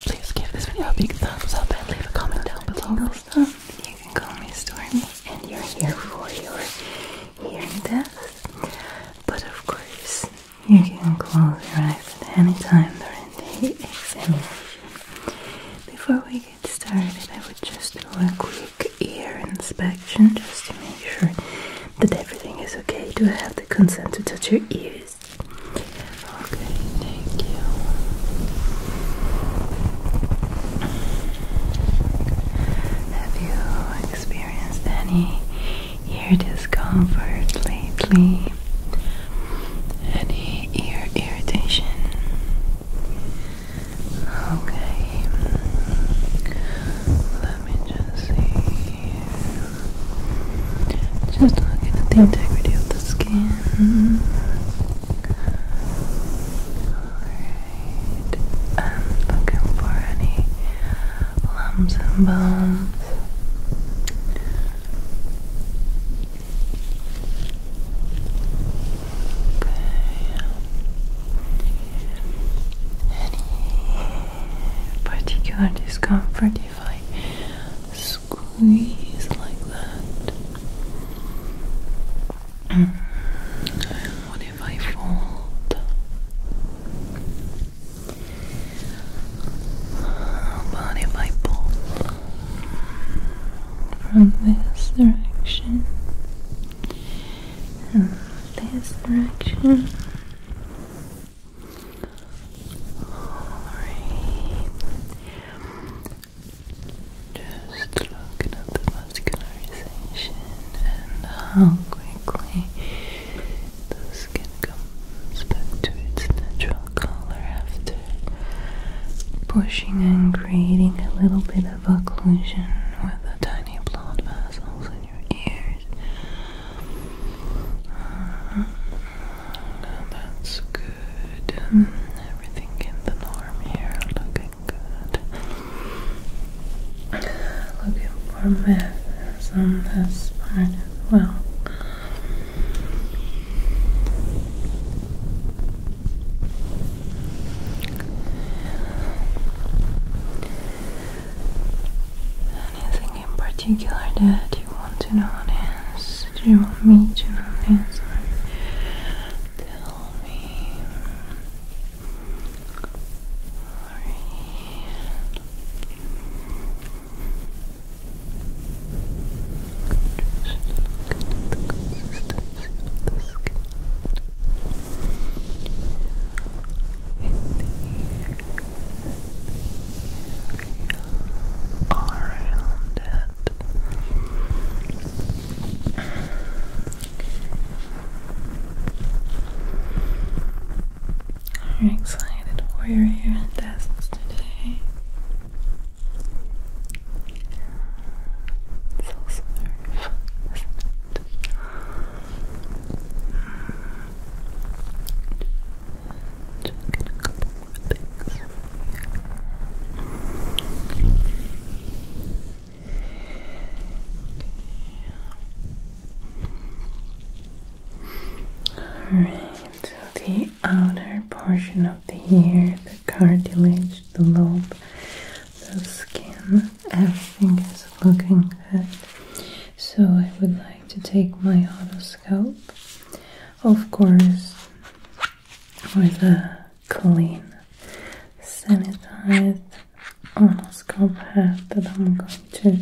Please give this video a big thumbs up and leave a comment down below. Stuff. You can call me Stormy, and you're here for your hearing test. But of course, you can close your eyes at any time during the examination. Before we get started, I would just do a quick ear inspection just to make sure that everything is okay. Do I have the consent to touch your ears? Okay, thank you. Have you experienced any ear discomfort lately? Any ear irritation? Okay, let me just see. Just look at the integrity of the skin. Alright. I'm looking for any lumps and bones. Okay. Any particular discomfort if I squeeze like that. Mm. what if I fold? How if I pull from this direction and this direction? Just looking at the vascularization and how quickly the skin comes back to its natural color after pushing and creating a little bit of occlusion with the tiny blood vessels in your ears. Uh That's good. Everything in the norm here, looking good. Looking for math on this part well. Anything in particular that you want to know do you want me to answer? Tell me. Just look at the consistency of the skin. It's here. It's around Are you excited for your hair tests today? It's also very fun, Alright, the outer portion of the ear, the cartilage, the lobe, the skin, everything is looking good. So I would like to take my auto of course, with a clean, sanitized onoscope head that I'm going to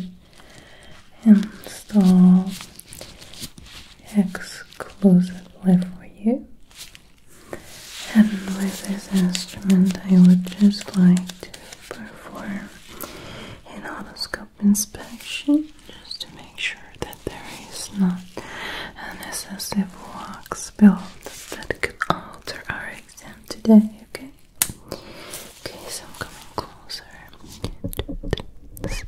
install exclusively for you. And with this instrument, I would just like to perform an onoscope inspection just to make sure that there is not an excessive wax build that could alter our exam today, okay? Okay, so I'm coming closer. Six,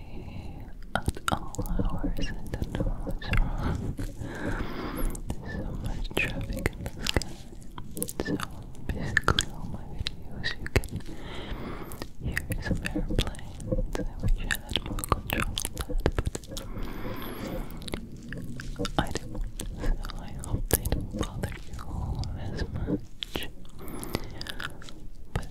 at all hours and don't know there's so much traffic in the sky so basically all my videos you can hear airplanes I wish I had more control but I don't so I hope they don't bother you as much but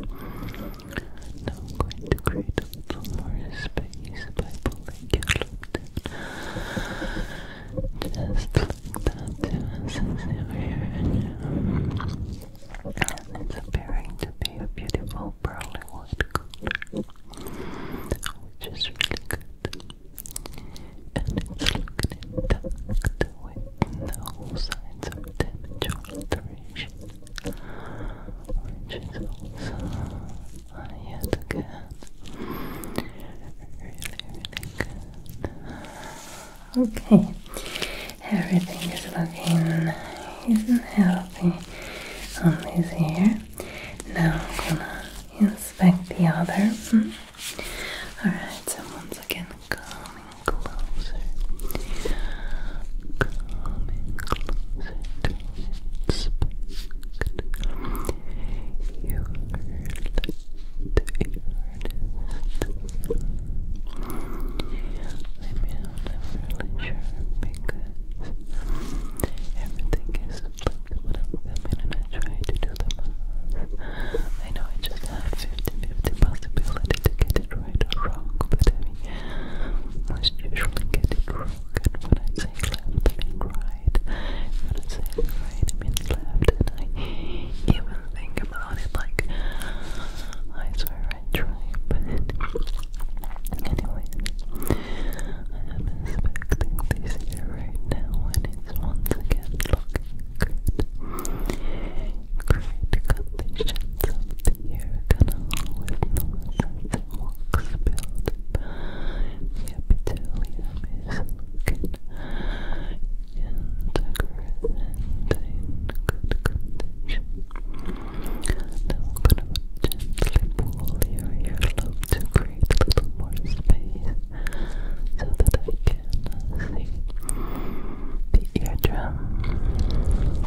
Now I'm going to create a little more space by pulling your lip Just like that, yes, over here. it's appearing to be a beautiful pearly white color, which is really good. And it's looking intact with no signs of damage or alteration which is also uh, really, really good. Okay, everything is looking nice not healthy on this ear. Now I'm gonna inspect the other. Hmm. Alright, so once again, calming closer, coming closer to inspect your let Maybe I'm not really sure because everything is flipped when I'm filming and I try to do the math. I know I just have 50-50 possibility to get it right or wrong, but I mean, most usually get it wrong. And when I say left, I mean right. When I say right, I mean left. And I even think about it like, I swear I try, but anyway, I am inspecting this here right now, and it's once again looking good. Great conditions of you're gonna always know that the walks built by the epithelium and I'm gonna gently pull your earlobe to create a little more space so that I can uh, see the eardrum.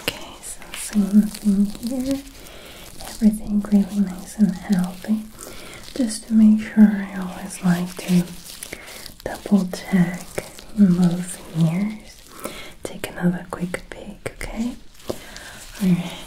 Okay, so same thing here. Everything really nice and healthy. Just to make sure, I always like to double check in both ears. Take another quick peek, okay? Alright,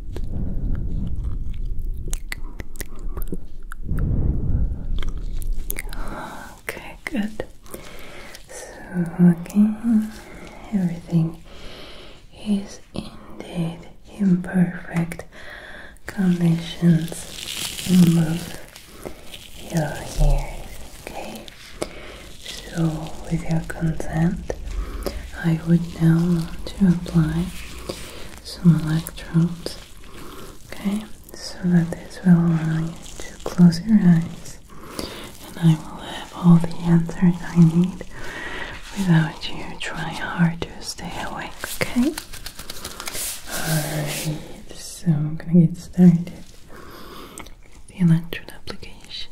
Okay, good. So, again, everything is indeed imperfect perfect conditions. Move your ears, okay? So, with your consent, I would now want to apply some electrodes, okay, so that this will allow you to close your eyes and I will have all the answers I need without you trying hard to stay awake, okay? Alright, so I'm gonna get started with the electrode application.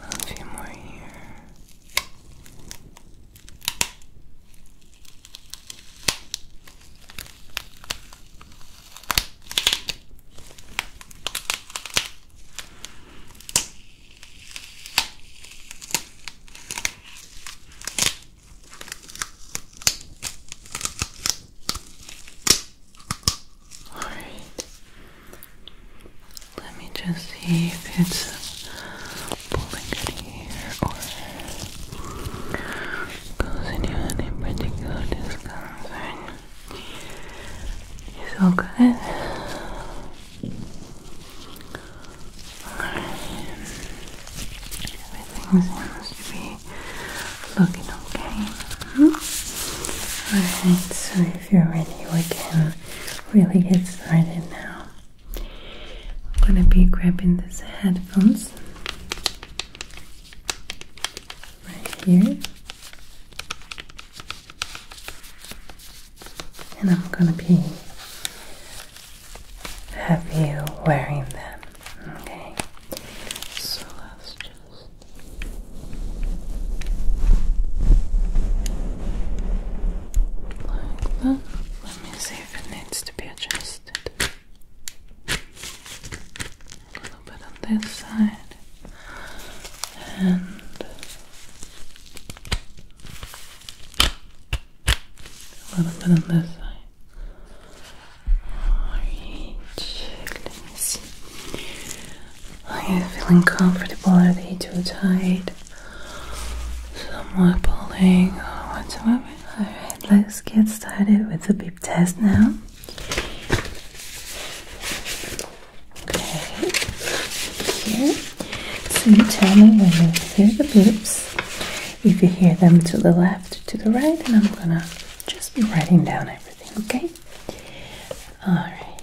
A few more here. Alright. Let me just see if it's pulling it here or causing you any particular discomfort. It's all good. Alright. Everything seems to be looking okay. Alright, so if you're ready, we can really get started now. I'm gonna be grabbing these headphones right here. And I'm gonna be have you wearing them. Okay. So let's just like that. Let me see if it needs to be adjusted. A little bit on this side and a little bit on this side. Alright, let are you feeling comfortable? Are they too tight? Somewhat pulling oh, Alright, let's get started with the beep test now. Okay, here. So you tell me when you hear the beeps. If you hear them to the left, to the right, and I'm gonna just be writing down everything, okay? Alright.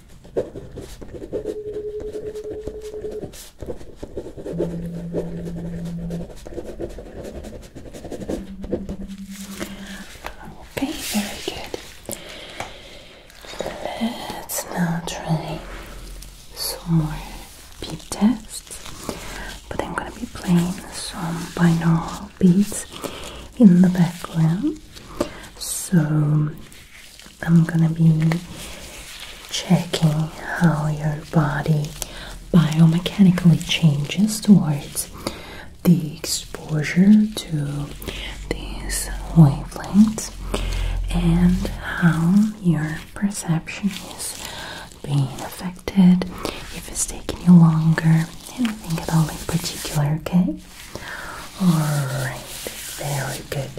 Okay, very good. Let's now try some beat tests, but I'm going to be playing some now. Beats in the background. So I'm gonna be checking how your body biomechanically changes towards the exposure to these wavelengths and how your perception is being affected, if it's taking you longer, anything at all in particular, okay? Alright, very good.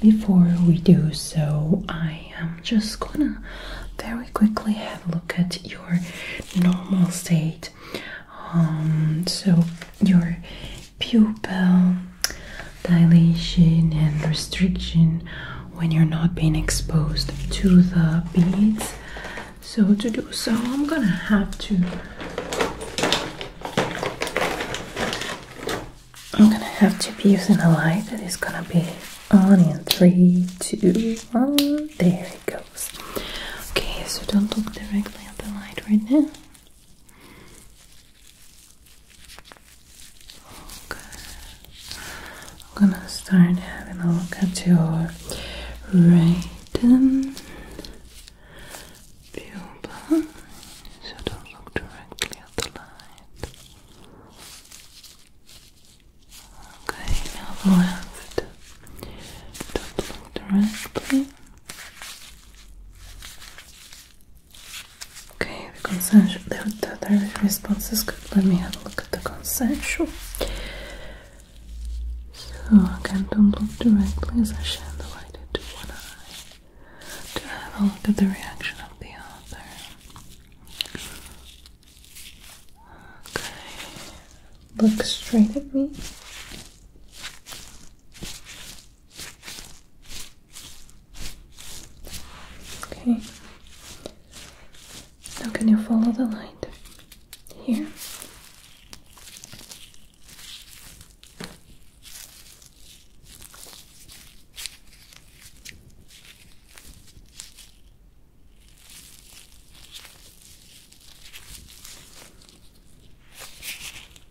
Before we do so, I am just gonna very quickly have a look at your normal state. Um, so, your pupil dilation and restriction when you're not being exposed to the beads so to do so I'm gonna have to I'm gonna have to be using a light that is gonna be on in three, two, one. There it goes. Okay, so don't look directly at the light right now. Okay. I'm gonna start having a look at your right um, pupil, so don't look directly at the light. Okay, now the left. Don't look directly. Okay, the consensual, the direct responses good. Let me have a look at the consensual. So again, don't look directly as I shine the light into one eye to have a look at the reaction of the other. Okay, look straight at me. Okay. Now, can you follow the light here?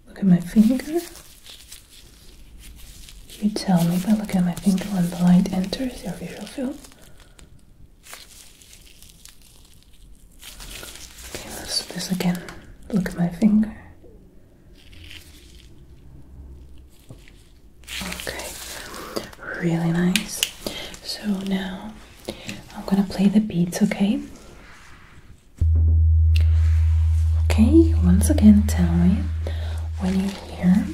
Look at my finger. You tell me by looking at my finger when the light enters your visual field. Okay, let's do this again. Look at my finger. Okay, really nice. So now I'm gonna play the beats, okay? Okay, once again, tell me when you hear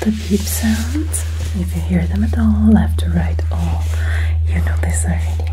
the beep sounds, if you hear them at all, left or right, Oh, you know this already.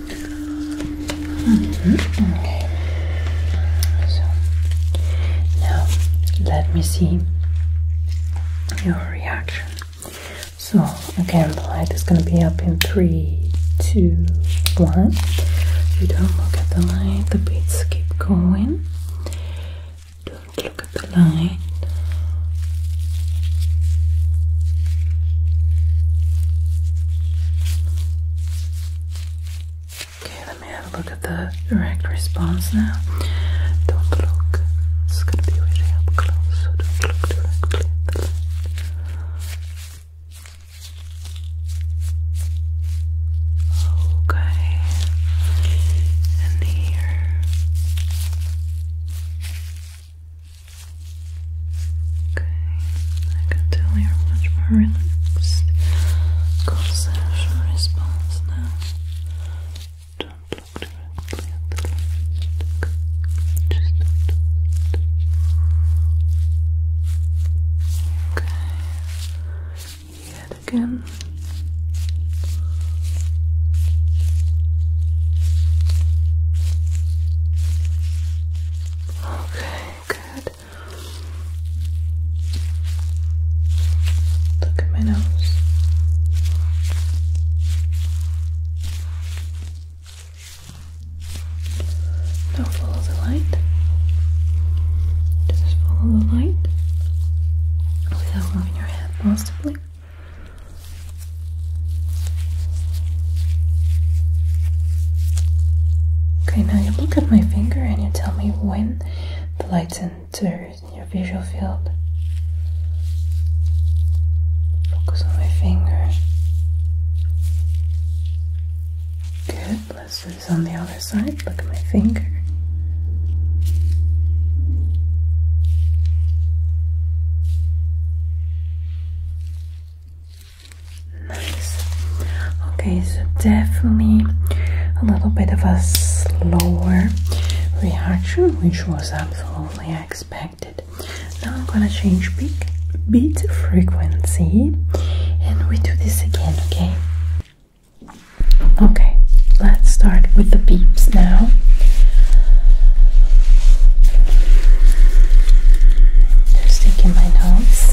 Mm-hmm. Okay. So now let me see your reaction. So again, the light is going to be up in three, two, one. You don't look at the light. The beads keep going. Don't look at the light. Okay, let me have a look at the direct response now. Don't look. It's gonna be really up close, Okay, and here. Okay, I can tell you're much more relaxed. Conceptual response now. Don't look directly at the light. Just Okay, yet again. Okay, good. Look at my nose. Now follow the light. Just follow the light without moving your head, possibly. Okay, now you look at my finger and you tell me when the lights enter your visual field. Focus on my finger. Good, let's do this on the other side. Look at my finger. Nice. Okay, so definitely a little bit of a slower reaction, which was absolutely expected. Now I'm gonna change beat, beat frequency and we do this again, okay? Okay, let's start with the beeps now just taking my notes.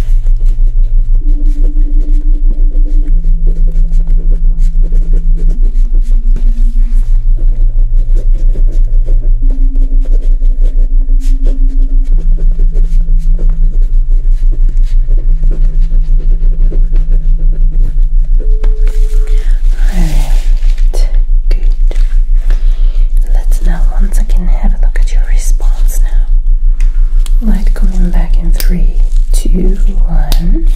Alright, good. Let's now once again have a look at your response now. Light coming back in three, two, one.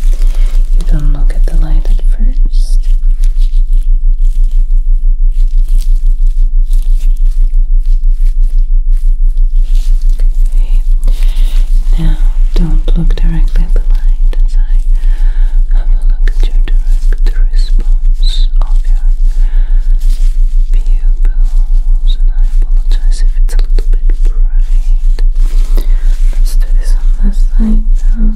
You don't look at the light at first. Okay. Now don't look directly at the light as I have a look at your direct response of your being and I apologize if it's a little bit bright. Let's do this on this now.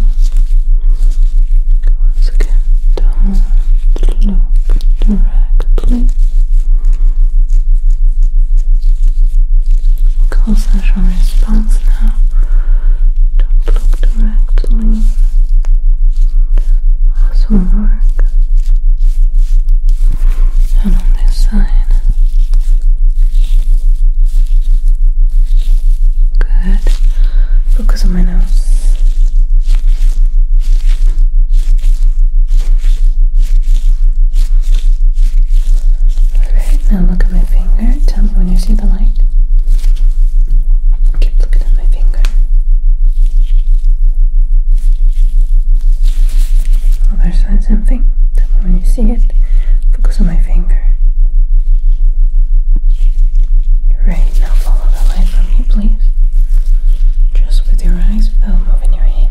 Once again, don't look directly. Call response now. Don't look directly. Awesome work and on this side. Good. Focus on my nose. Alright, now look at my finger. Tell me when you see the light. Keep looking at my finger other oh, side, same thing. When you see it, focus on my finger. Right now, follow the light from me, please. Just with your eyes without moving your head.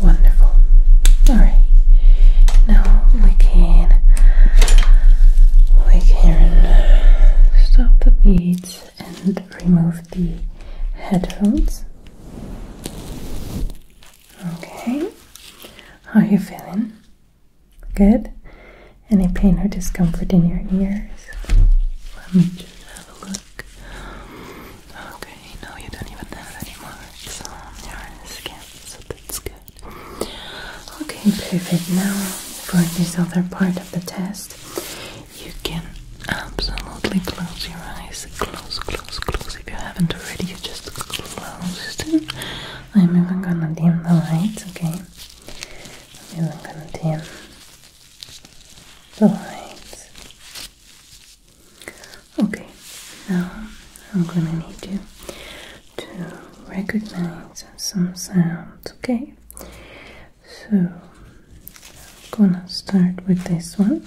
Wonderful. All right. Now we can we can stop the beads and remove the headphones. Okay. How are you feeling? Good. Any pain or discomfort in your ears? Let me just have a look. Okay, no, you don't even have any marks on your skin, so that's good. Okay, perfect. Now, for this other part of the test, you can absolutely close your eyes. Close, close, close. If you haven't already, you just close I'm even gonna dim the lights, okay? I'm even gonna dim the lights. Okay, now I'm gonna need you to recognize some sounds, okay? So I'm gonna start with this one.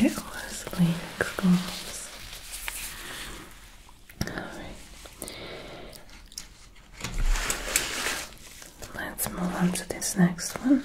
It was Kleenex gloves. Let's move on to this next one.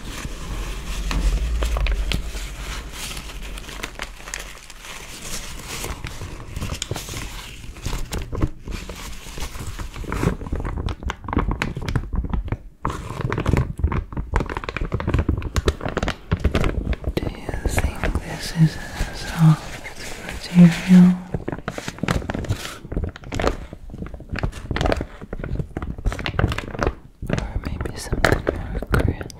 Do you think this is a soft material? or maybe something more crisp.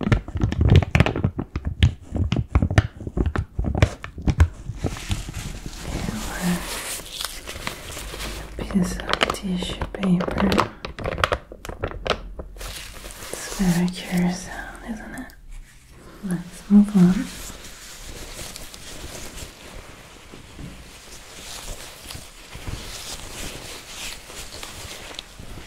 a piece of tissue paper. It's very curious isn't it? Let's move on.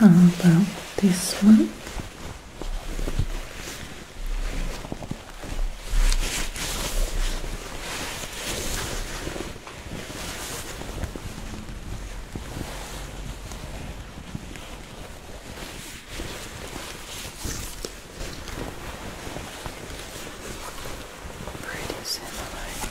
How about this one? Pretty similar.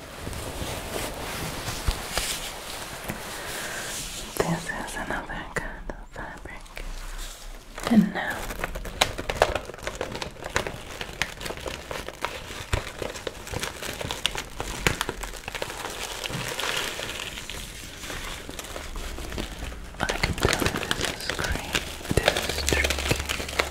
This is another kind of fabric. And now I can tell you this is great. This is tricky.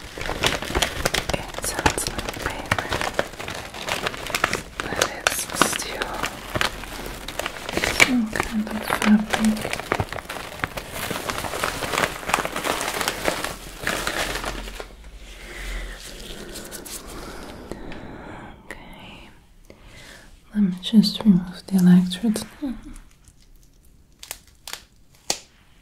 It sounds like but it's still some kind of fabric. Okay, let me just remove the electrodes now.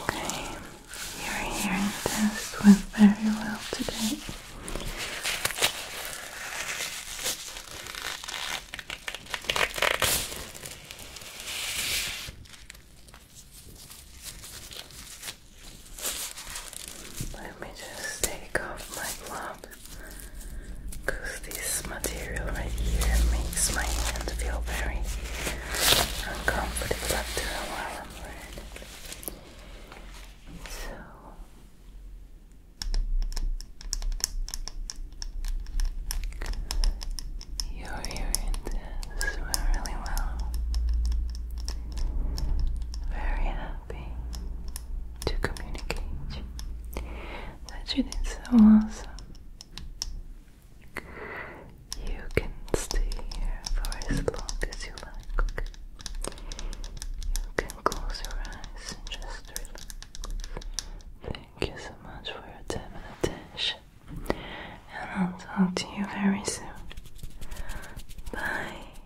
Okay, your hearing test went very well today. Let me just take off my gloves because this material right here makes my hand feel very uncomfortable after a So you're hearing really well. Very happy to communicate that it is so awesome. You can stay here for as long as you like. You can close your eyes and just relax. Thank you so much for your time and attention. And I'll talk to you very soon. Bye.